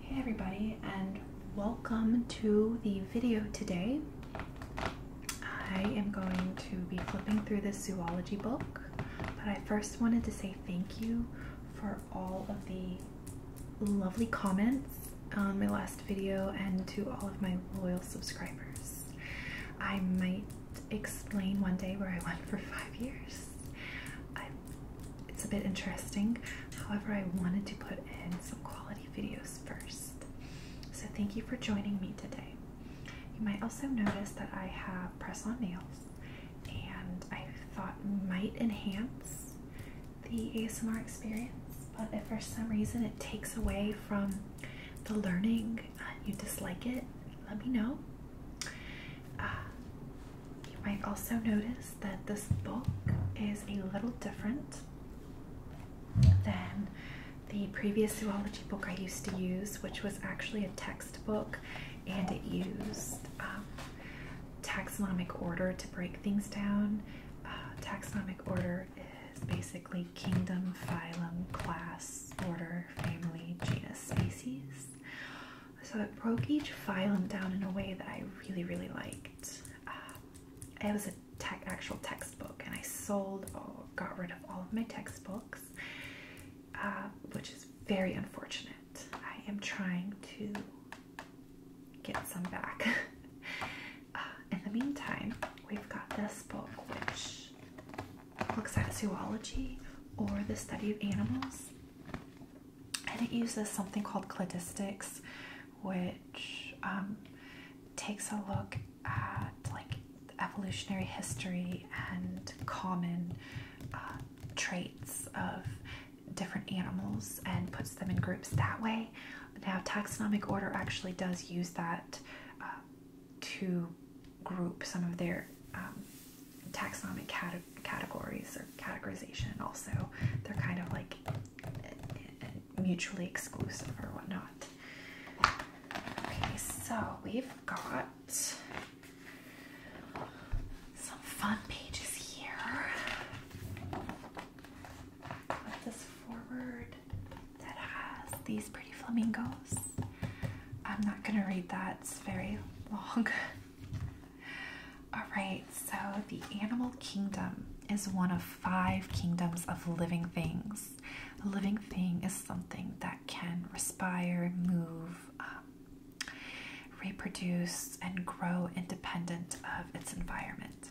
Hey everybody and welcome to the video today. I am going to be flipping through this zoology book, but I first wanted to say thank you for all of the lovely comments on my last video and to all of my loyal subscribers. I might explain one day where I went for five years it's a bit interesting. However, I wanted to put in some quality videos first. So thank you for joining me today. You might also notice that I have press-on nails and I thought might enhance the ASMR experience, but if for some reason it takes away from the learning you dislike it, let me know. Uh, you might also notice that this book is a little different than the previous zoology book I used to use, which was actually a textbook and it used um, taxonomic order to break things down. Uh, taxonomic order is basically kingdom, phylum, class, order, family, genus, species. So it broke each phylum down in a way that I really, really liked. Um, it was a tech actual textbook, and I sold or got rid of all of my textbooks, uh, which is very unfortunate. I am trying to get some back. Uh, in the meantime, we've got this book, which looks at zoology or the study of animals and it uses something called cladistics, which um, takes a look at like evolutionary history and common uh, traits of different animals and puts them in groups that way. Now, taxonomic order actually does use that uh, to group some of their um, taxonomic categories or categorization also they're kind of like mutually exclusive or whatnot okay so we've got some fun pages here Put this forward that has these pretty flamingos i'm not gonna read that it's very long All right, so the animal kingdom is one of five kingdoms of living things. A living thing is something that can respire, move, um, reproduce, and grow independent of its environment.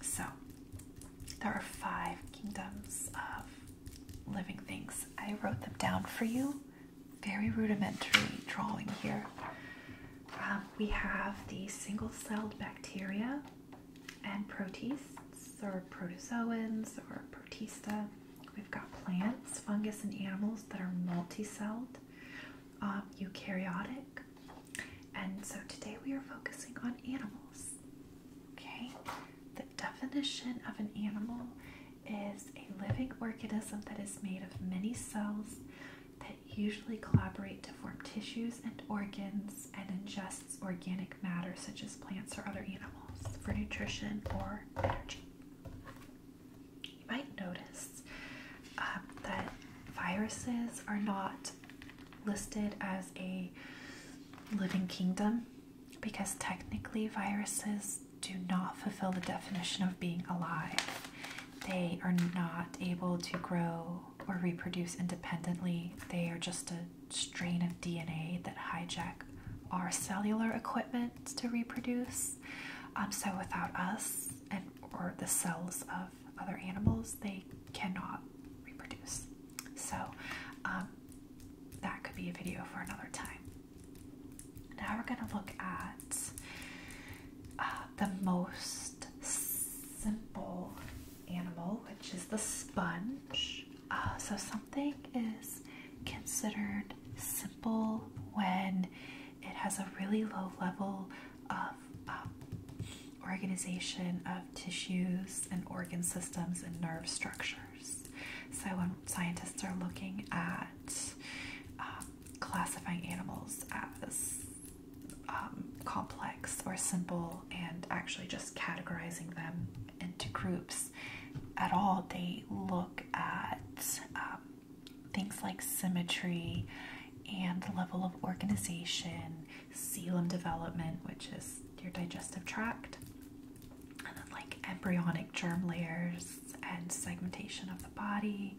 So, there are five kingdoms of living things. I wrote them down for you very rudimentary drawing here. Um, we have the single-celled bacteria and protists or protozoans or protista. We've got plants, fungus, and animals that are multi-celled, um, eukaryotic. And so today we are focusing on animals. Okay, the definition of an animal is a living organism that is made of many cells that usually collaborate to form tissues and organs and ingests organic matter such as plants or other animals for nutrition or energy. You might notice um, that viruses are not listed as a living kingdom because technically viruses do not fulfill the definition of being alive. They are not able to grow or reproduce independently. They are just a strain of DNA that hijack our cellular equipment to reproduce. Um, so without us and or the cells of other animals, they cannot reproduce. So um, that could be a video for another time. Now we're going to look at uh, the most simple animal, which is the sponge. Uh, so something is considered simple when it has a really low level of um, organization of tissues and organ systems and nerve structure. So when um, scientists are looking at um, classifying animals as um, complex or simple and actually just categorizing them into groups at all, they look at um, things like symmetry and level of organization, coelom development, which is your digestive tract, like embryonic germ layers and segmentation of the body.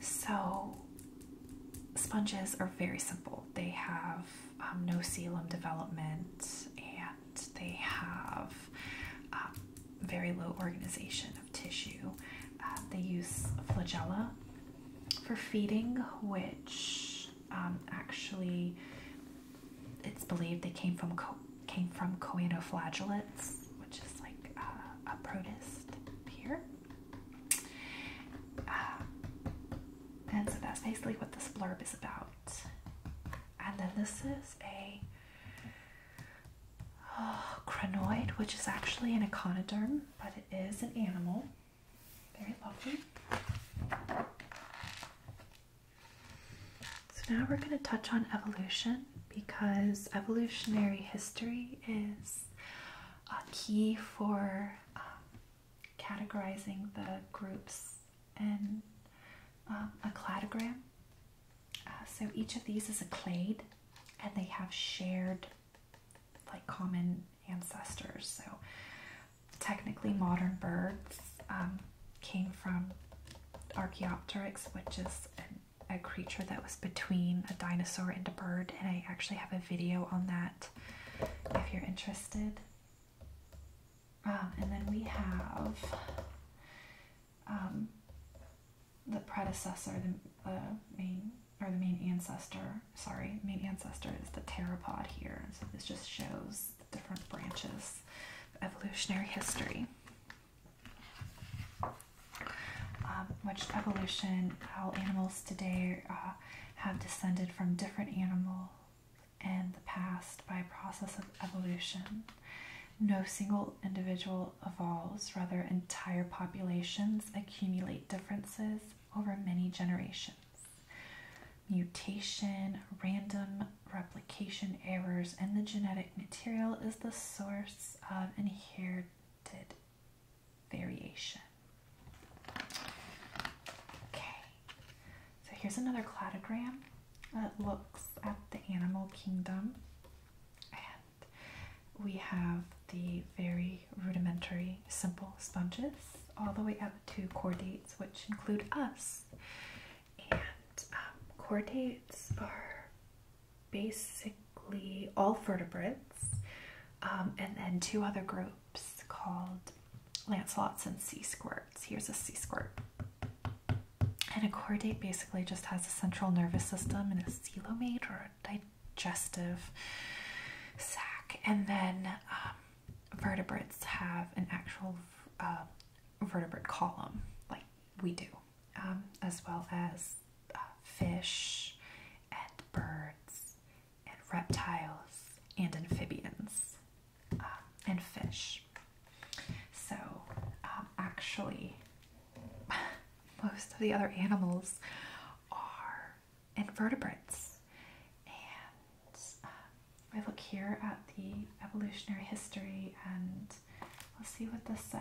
So, sponges are very simple. They have um, no coelom development and they have um, very low organization of tissue. Uh, they use flagella for feeding, which um, actually it's believed they came from co came from coenoflagellates, which is like uh, a protist here. Uh, and so that's basically what this blurb is about. And then this is a oh, crinoid, which is actually an echinoderm, but it is an animal. Very lovely. So now we're going to touch on evolution because evolutionary history is a key for um, categorizing the groups in um, a cladogram. Uh, so each of these is a clade and they have shared, like, common ancestors. So technically, modern birds um, came from Archaeopteryx, which is a creature that was between a dinosaur and a bird, and I actually have a video on that if you're interested. Um, and then we have um, the predecessor, the main or the main ancestor. Sorry, main ancestor is the pteropod here. So this just shows different branches of evolutionary history. Um, which evolution, how animals today uh, have descended from different animal in the past by a process of evolution. No single individual evolves, rather, entire populations accumulate differences over many generations mutation, random replication errors, and the genetic material is the source of inherited variation. Okay, so here's another cladogram that looks at the animal kingdom. And we have the very rudimentary simple sponges all the way up to chordates, which include us. And um, chordates are basically all vertebrates, um, and then two other groups called lancelots and c squirts. Here's a c squirt. And a chordate basically just has a central nervous system and a coelomate or a digestive sac, and then um, vertebrates have an actual uh, vertebrate column, like we do, um, as well as uh, fish and birds and reptiles and amphibians um, and fish. So, um, actually, most of the other animals are invertebrates I uh, look here at the evolutionary history and we'll see what this says.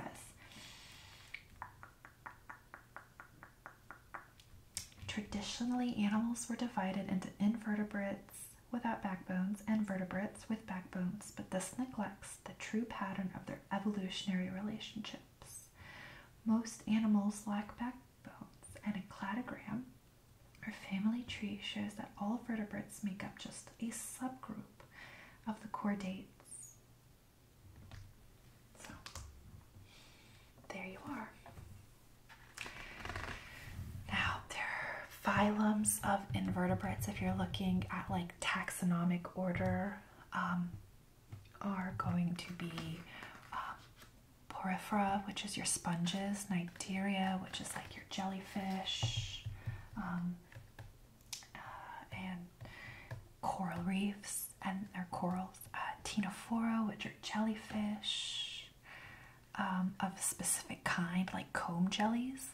Traditionally, animals were divided into invertebrates without backbones and vertebrates with backbones, but this neglects the true pattern of their evolutionary relationships. Most animals lack backbones, and a cladogram our family tree shows that all vertebrates make up just a subgroup of the chordates. So, there you are. Now, there are phylums of invertebrates if you're looking at like taxonomic order. Um, are going to be uh, porifera, which is your sponges, Nidaria, which is like your jelly Fish um, uh, and coral reefs, and their corals, uh, which are jellyfish um, of a specific kind, like comb jellies,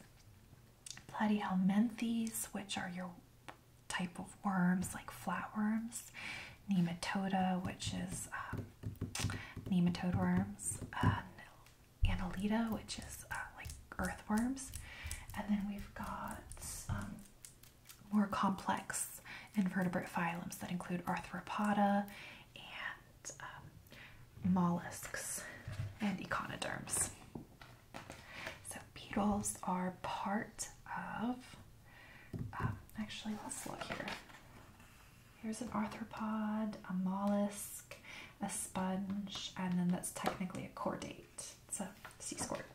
Platyhelminthes, which are your type of worms, like flatworms, nematoda, which is um, nematode worms, Annelida, which is uh, like earthworms, and then we've got um, more complex invertebrate phyla that include arthropoda and um, mollusks and echinoderms. So beetles are part of. Um, actually, let's look here. Here's an arthropod, a mollusk, a sponge, and then that's technically a chordate. It's a sea squirt.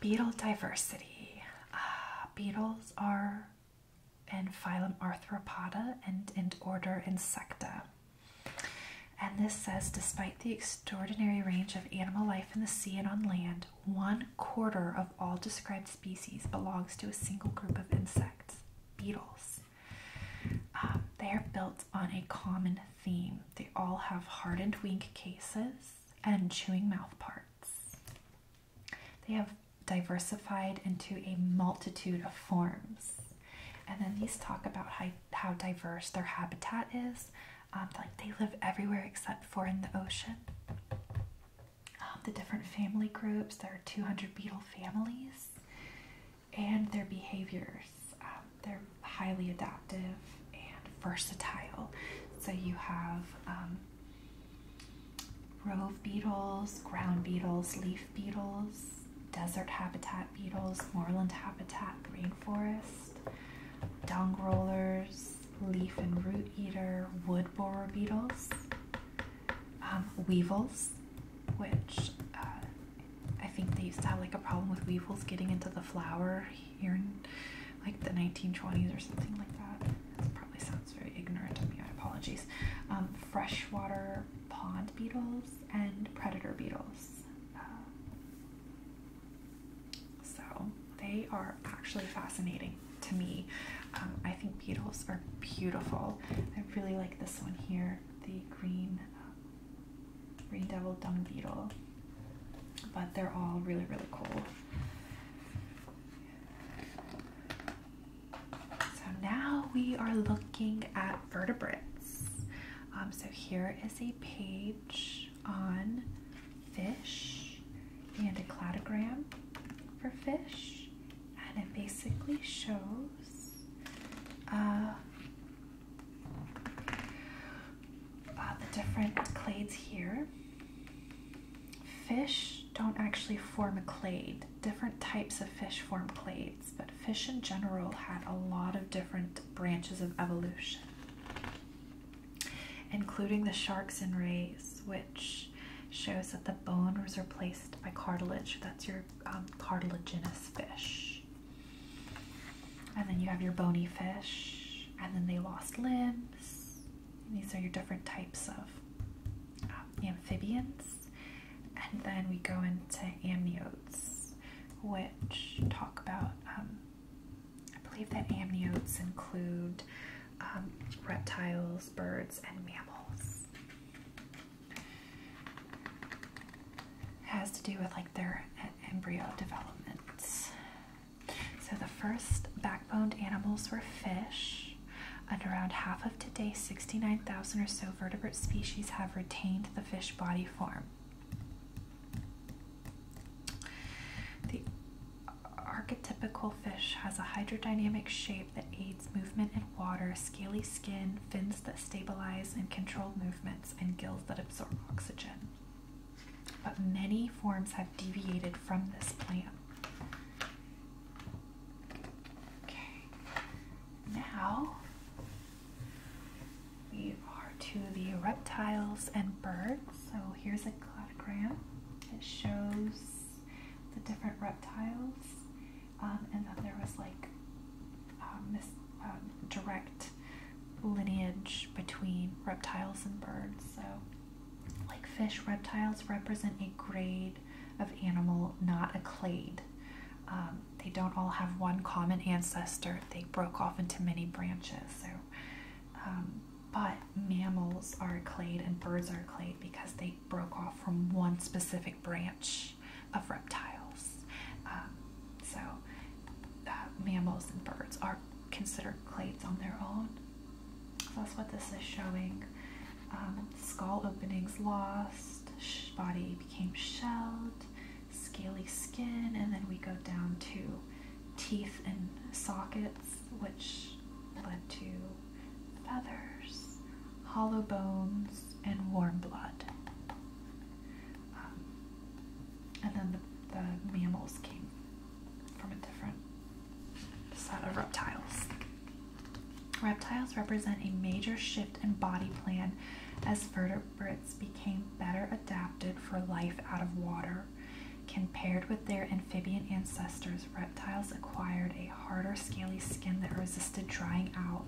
Beetle diversity. Uh, beetles are in phylum Arthropoda and in order Insecta. And this says, despite the extraordinary range of animal life in the sea and on land, one quarter of all described species belongs to a single group of insects, beetles. Um, they are built on a common theme. They all have hardened wing cases and chewing mouth parts. They have diversified into a multitude of forms. And then these talk about how, diverse their habitat is. Um, like they live everywhere except for in the ocean. Um, the different family groups. There are 200 beetle families and their behaviors. Um, they're highly adaptive and versatile. So you have um, rove beetles, ground beetles, leaf beetles, desert habitat beetles, moorland habitat, rainforest, dung rollers, leaf and root eater, wood borer beetles, um, weevils, which uh, I think they used to have like a problem with weevils getting into the flower here in like the 1920s or something like that. That probably sounds very ignorant of me, apologies. Um, freshwater pond beetles and predator beetles. Uh, so they are actually fascinating to me. Um, I think beetles are beautiful. I really like this one here, the green uh, green devil dung beetle. But they're all really really cool. So now we are looking at vertebrates. Um, so here is a page on fish and a cladogram for fish, and it basically shows uh, uh, the different clades here. Fish don't actually form a clade. Different types of fish form clades, but fish in general had a lot of different branches of evolution including the sharks and rays, which shows that the bone was replaced by cartilage. That's your um, cartilaginous fish. And then you have your bony fish, and then they lost limbs. These are your different types of uh, amphibians. And then we go into amniotes, which talk about um, I believe that amniotes include um, reptiles, birds, and mammals. It has to do with like their embryo developments. So the first backboned animals were fish, and around half of today's 69,000 or so vertebrate species have retained the fish body form. The archetypical fish has a hydrodynamic shape that aids movement in water, scaly skin, fins that stabilize and control movements, and gills that absorb oxygen. But many forms have deviated from this plan. Okay, now we are to the reptiles and birds. So here's a it shows the different reptiles, um, and then there was like um, this um, direct lineage between reptiles and birds. So, like fish, reptiles represent a grade of animal, not a clade. they don't all have one common ancestor. They broke off into many branches. So, but mammals are a clade and birds are a clade because they broke off from one specific branch of reptiles. Um, so uh, mammals and birds are considered clades on their own. that's what this is showing. Um, skull openings lost, body became shelled, scaly skin, and then we go down to teeth and sockets which led to feathers, hollow bones, and warm blood. Um, and then the, the mammals came from a different set of reptiles. Reptiles represent a major shift in body plan as vertebrates became better adapted for life out of water Compared with their amphibian ancestors, reptiles acquired a harder, scaly skin that resisted drying out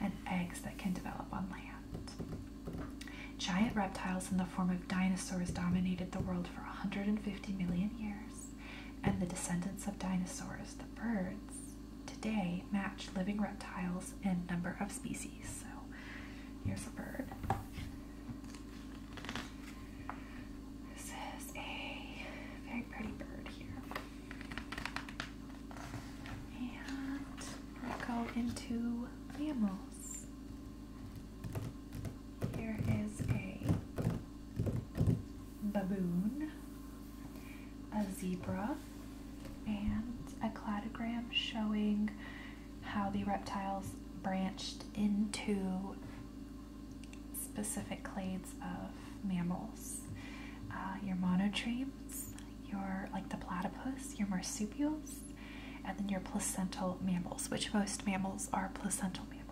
and eggs that can develop on land. Giant reptiles in the form of dinosaurs dominated the world for 150 million years, and the descendants of dinosaurs, the birds, today match living reptiles in number of species. So here's a bird. This is a very pretty bird here. And we'll go into mammals. Here is a baboon, a zebra, and a cladogram showing how the reptiles branched into specific clades of mammals. Uh, your monotremes, your like the platypus, your marsupials, and then your placental mammals, which most mammals are placental mammals.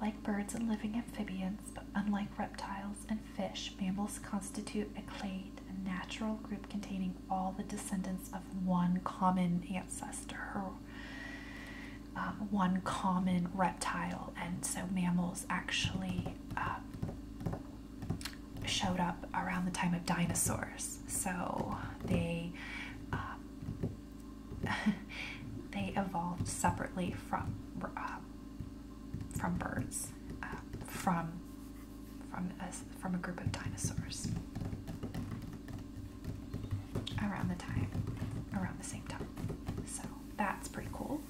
Like birds and living amphibians, but unlike reptiles and fish, mammals constitute a clade, a natural group containing all the descendants of one common ancestor uh, one common reptile, and so mammals actually uh, showed up around the time of dinosaurs. So they uh, they evolved separately from from birds, from from a, from a group of dinosaurs around the time, around the same time. So that's pretty cool.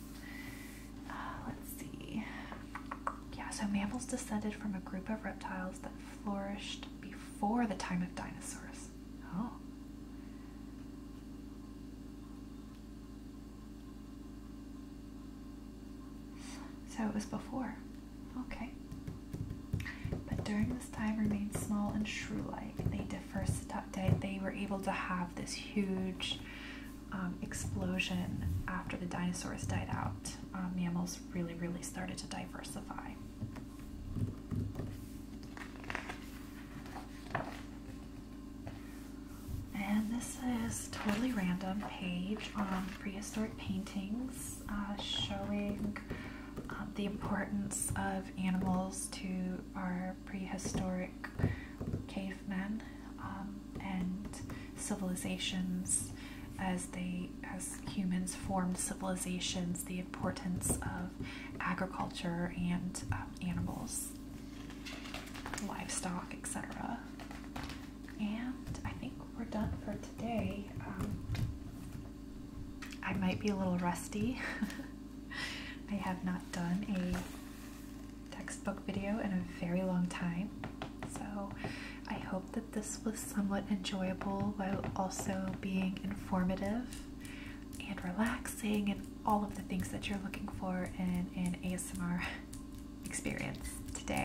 Uh, let's see. Yeah, so mammals descended from a group of reptiles that flourished before the time of dinosaurs. Oh. So it was before. Okay. But during this time remained small and shrew-like. They differ, they were able to have this huge um, explosion after the dinosaurs died out. Um, mammals really, really started to diversify. And this is totally random page on prehistoric paintings. Uh, showing uh, the importance of animals to our prehistoric cavemen um, and civilizations as they as humans formed civilizations the importance of agriculture and uh, animals livestock etc and i think we're done for today today. Um, I might be a little rusty. I have not done a textbook video in a very long time, so I hope that this was somewhat enjoyable while also being informative and relaxing and all of the things that you're looking for in an ASMR experience today.